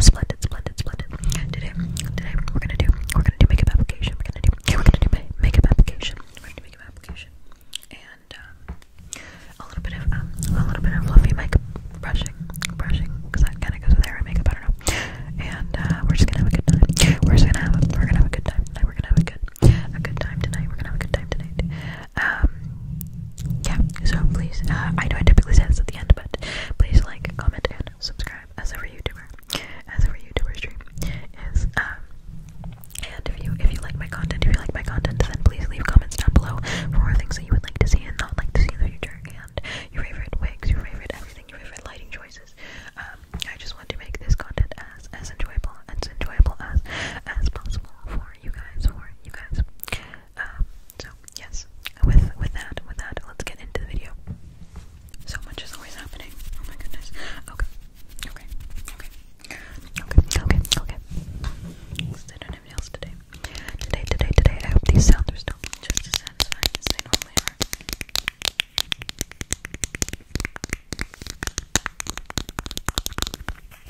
Splendid, splendid, splendid. Today, today we're gonna do, we're gonna do makeup application. We're gonna do, we're gonna do makeup application. We're gonna do makeup application, and um, a little bit of, um, a little bit of fluffy makeup brushing, brushing, that kind of goes with hair and makeup. I don't know. And uh, we're just gonna have a good time. We're just gonna have, we're gonna have a good time tonight. We're gonna have a good, a good time tonight. We're gonna have a good time tonight um yeah so please uh, I know I typically say this at the end but please like comment and subscribe as every youtuber as every youtuber stream is um, and if you if you like my content if you like my content then please leave comments down below for things that you would like to see and not like to see in the future and your favorite wigs your favorite everything your favorite lighting choices um I just want to make this content as as enjoyable as enjoyable as as possible for you guys for you guys um, so yes, with with that, with that, let's get into the video. So much is always happening. Oh my goodness. Okay. Okay. Okay. Okay. Okay. Okay. Let's do no nails today. Today, today, today. I hope these sounds are still just as satisfying as they normally are. This,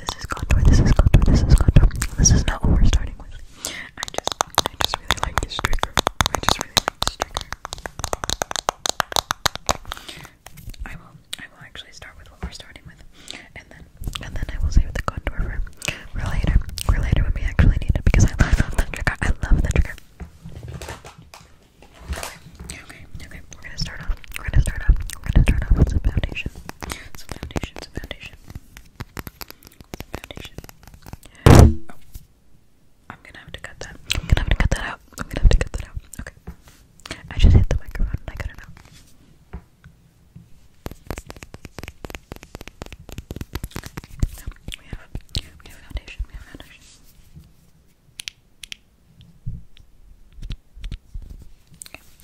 this is contour, this is contour, this is contour. This is not what we're starting with. I just, I just really like this trigger. I just really like this trigger. I will, I will actually start with what we're starting with, and then, and then I will say save the contour for, for later, for later when we actually need it because I love the trigger. I love the trigger. Okay, okay, okay. We're gonna start off. We're gonna start off. We're gonna start off with some foundation. Some foundation, some foundation. foundation. Oh, I'm gonna have to cut that. I'm gonna have to cut that out. I'm gonna have to cut that out. Okay. I just hit the microphone I got it out. we have foundation, we have foundation.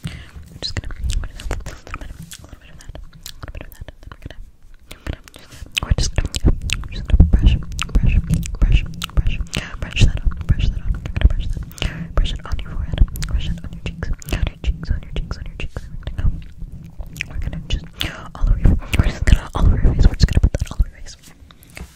I'm just gonna, put a little bit, a little bit of that, a little bit of that, then we're gonna, we're just gonna, we're just gonna brush, brush, brush, brush, brush that on, brush that on, brush that, brush it on your forehead, brush it on your cheeks, on your cheeks, on your cheeks, on your cheeks, we go, we're gonna just all over your face, we're just gonna put that all over your face.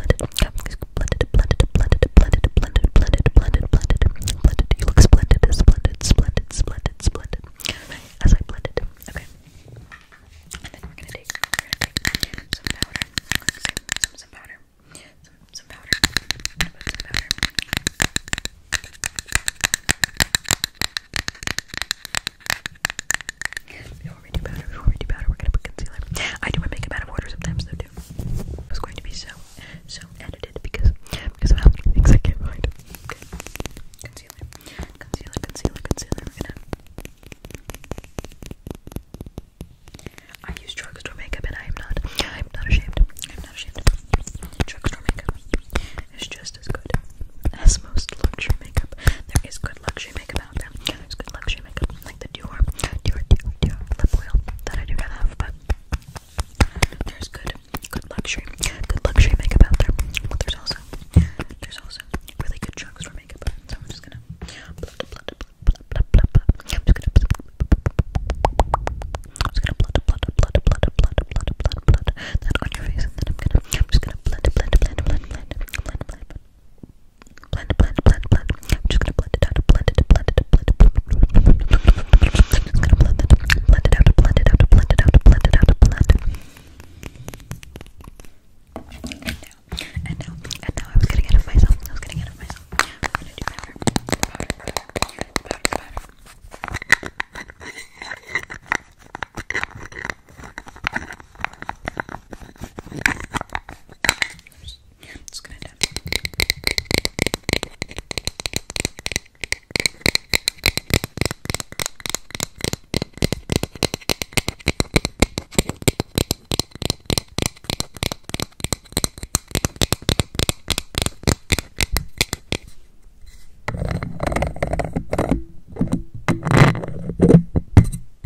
blended, blended, blended, blended, blended, blended, blended, blended, blended. You look splendid, splendid, splendid, splendid, splendid. As I blend okay. And then we're gonna take, some powder, some some powder, some some powder, put some powder. Before we do powder, before we do powder, we're gonna put concealer. I do my makeup out of order sometimes though too. It's going to be so, so edited because because I can't find. Concealer. Concealer, concealer, concealer. We're I use drugstore makeup and I am not I'm not ashamed. I'm not ashamed. Drugstore makeup is just as good as most luxury makeup. There is good luxury makeup about good luxury makeup, like the Dior, Dior, Dior, Dior lip oil that I do not there's good, good luxury, good luxury makeup out there. But there's also, there's also really good chunks for makeup. So I'm just gonna, blah, blah, blah, blah, blah, I'm just gonna, I'm just gonna that on your face, and then I'm gonna, I'm just gonna blend, blend, blend, blend, blend, blend, blend, blend. blend, blend blend, blend, blend, blend. I'm just gonna blend it out, blend it, blend it, blend it, blend it. I'm just gonna blend it, blend it out, blend it out, blend it out, blend it out, blend. And now, and now, and now I was getting out of myself. I was getting out of myself. I'm gonna do powder, powder, powder, powder, powder. I'm just gonna dab.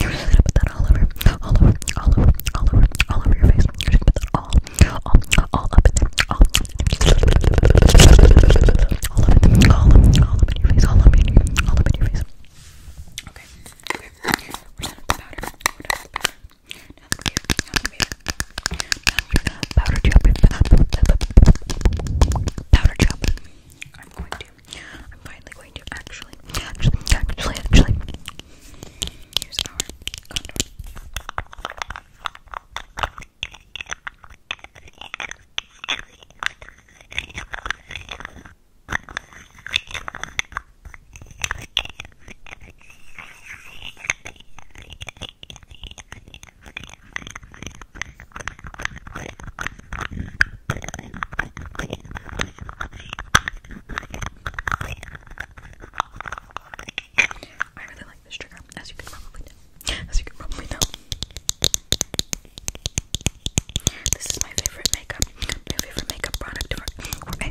you're gonna put that all over, all over, all over, all over, all over your face. You're gonna put that all, all, all up in there, all, all up in there, all up, all up in your face, all up in your, all up in your face. Okay, okay, we're done with the powder. We're done with the powder. Now that we've, now that we've, now that we've powdered you up, powder chop. I'm going to I'm finally going to actually, actually, actually, actually. Here's our contour. I really like this trigger, as you can probably As you can probably know. This is my favorite makeup, my favorite makeup product for ASMR.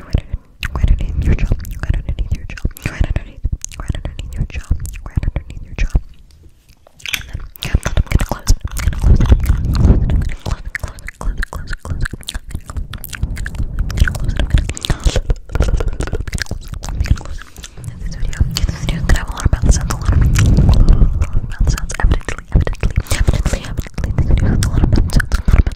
right underneath, your jaw, right underneath your jaw, right underneath, right underneath your jaw, right underneath your jaw. I'm gonna close I'm gonna close I'm gonna close close Close Close Close Close I'm gonna close I'm gonna close In this video, in this gonna have a lot of mouth sounds. A lot of mouth sounds. Evidently, evidently, evidently, evidently. This video a lot of mouth sounds.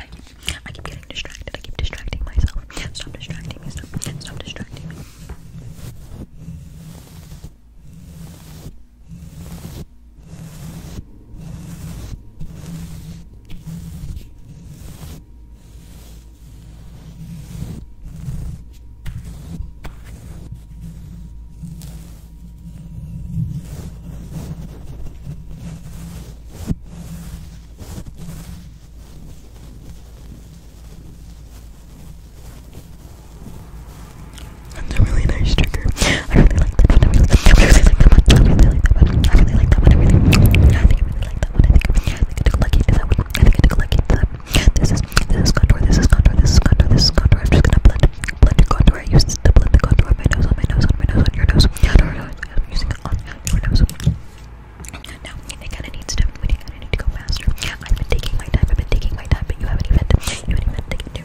I keep, I getting distracted. I keep distracting myself. Stop distracting me. Stop, Stop distracting me. That's a really nice trigger. I really like that one. I really like that one. I really like that one. I really like that one. I really like that one. I really, I think I really like that one. I think I think I took lucky to that one. I think I took lucky to that. This is this is contour. This is contour. This is contour. This is contour. I'm just gonna blend blend your contour. I used to blend the contour on my nose, on my nose, on my nose, on your nose. Yeah, no, no, I'm using it on your nose. No, it kind of needs to. We kind of need to go faster. I've been taking my time. I've been taking my time, but you haven't even. You haven't taken two.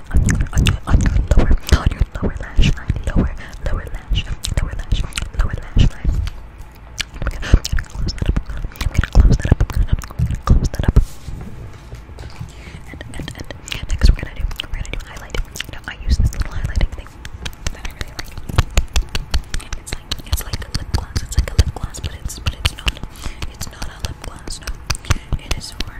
on your on your lower on your lower lash line, lower lower lash, lower lash, lower lash line. I'm gonna, I'm gonna close that up. I'm gonna close that up. I'm gonna, I'm gonna close that up. And and and next we're gonna do we're gonna do highlight. You know, I use this little highlighting thing that I really like. It's like it's like a lip gloss. It's like a lip gloss, but it's but it's not it's not a lip gloss. No, it is for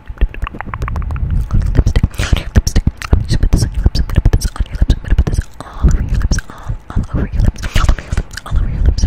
lipstick lipstick. I'm gonna put this on your lips. I'm gonna put this on your lips. I'm gonna put this all over your lips. All, over your lips. All over your lips.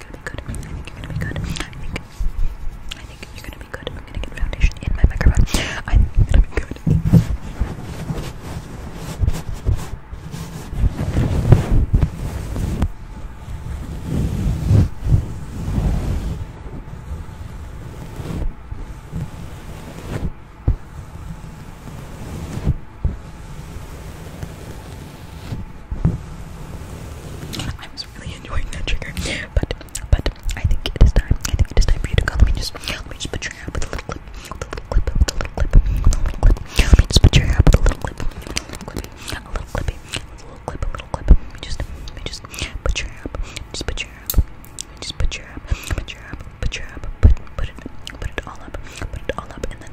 think you're gonna be good. I think you're gonna be good. I think I think you're gonna be good. I'm gonna get foundation in my microphone. I'm gonna be good. I was really enjoying that trigger, but but I think it is time. I think it is time for you to go. Let me just let me just put your hair with a little clip, a little clip, a little clip, a little clip. Let me just put your hair with a little clip, a little clippy, a little clip, a little clip. Let me just put your hair just put your hair up, just put your hair put your hair put your hair put put it put it all up, put it all up, and then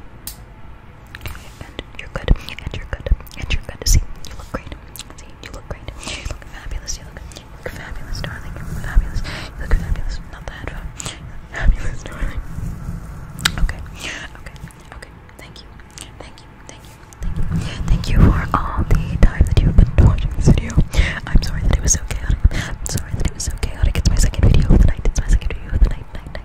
and you're good, and you're good, and you're good. See, you look great. See, you look great. You look fabulous. You look, you look fabulous, darling. You look fabulous. You look fabulous. Not the headphone. Fabulous, darling. Okay, okay, okay. Thank you, thank you, thank you, thank you, thank you for all the time that you've been watching this video. I'm sorry that it was so chaotic. I'm sorry that it was so chaotic. It's my second video of the night. It's my second video of the night. Night, night.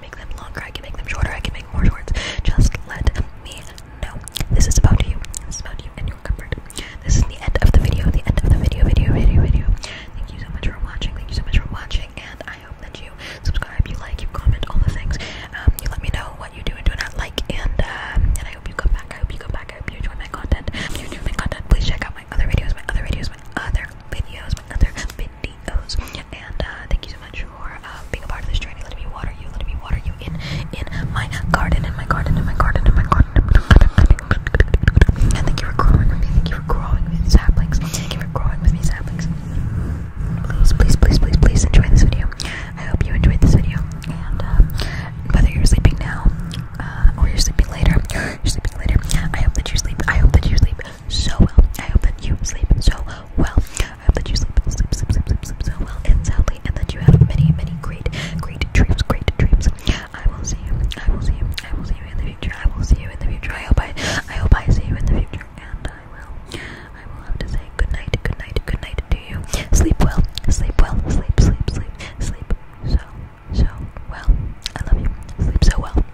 can make them longer, I can make them shorter, I can make more shorts. Just let me know. This is about you. This is about you and your comfort. This is the end of the video, the end of the video, video, video, video. Thank you so much for watching. Thank you so much for watching. And I hope that you subscribe, you like, you comment, all the things. Um, you let me know what you do and do not like. And um, and I hope you come back. I hope you come back. I hope you enjoy my content. If you enjoy my content, please check out my other videos, my other videos, my other videos, my other videos. And uh, thank you so much for uh, being a part of this journey. Let me water you. Let me water you in in my garden, in my garden, in my garden, in my garden. And thank you for growing with me. Thank you for growing with me, saplings. Thank you for growing with me, saplings. Please, please, please, please, please enjoy this video. I hope you enjoyed this video. And uh, whether you're sleeping now uh, or you're sleeping later, you're sleeping later. I hope that you sleep. I hope that you sleep so well. I hope that you sleep so well. I hope that you sleep, sleep, sleep, sleep, sleep, sleep so well and soundly, and that you have many, many great, great dreams, great dreams. I will see you. I will see you. I will see you in the future. I will see you in the future. I hope I, I hope I see you in the future, and I will, I will have to say good night, good night, good night to you. Sleep well. Sleep well. Sleep, sleep, sleep, sleep so, so well. I love you. Sleep so well.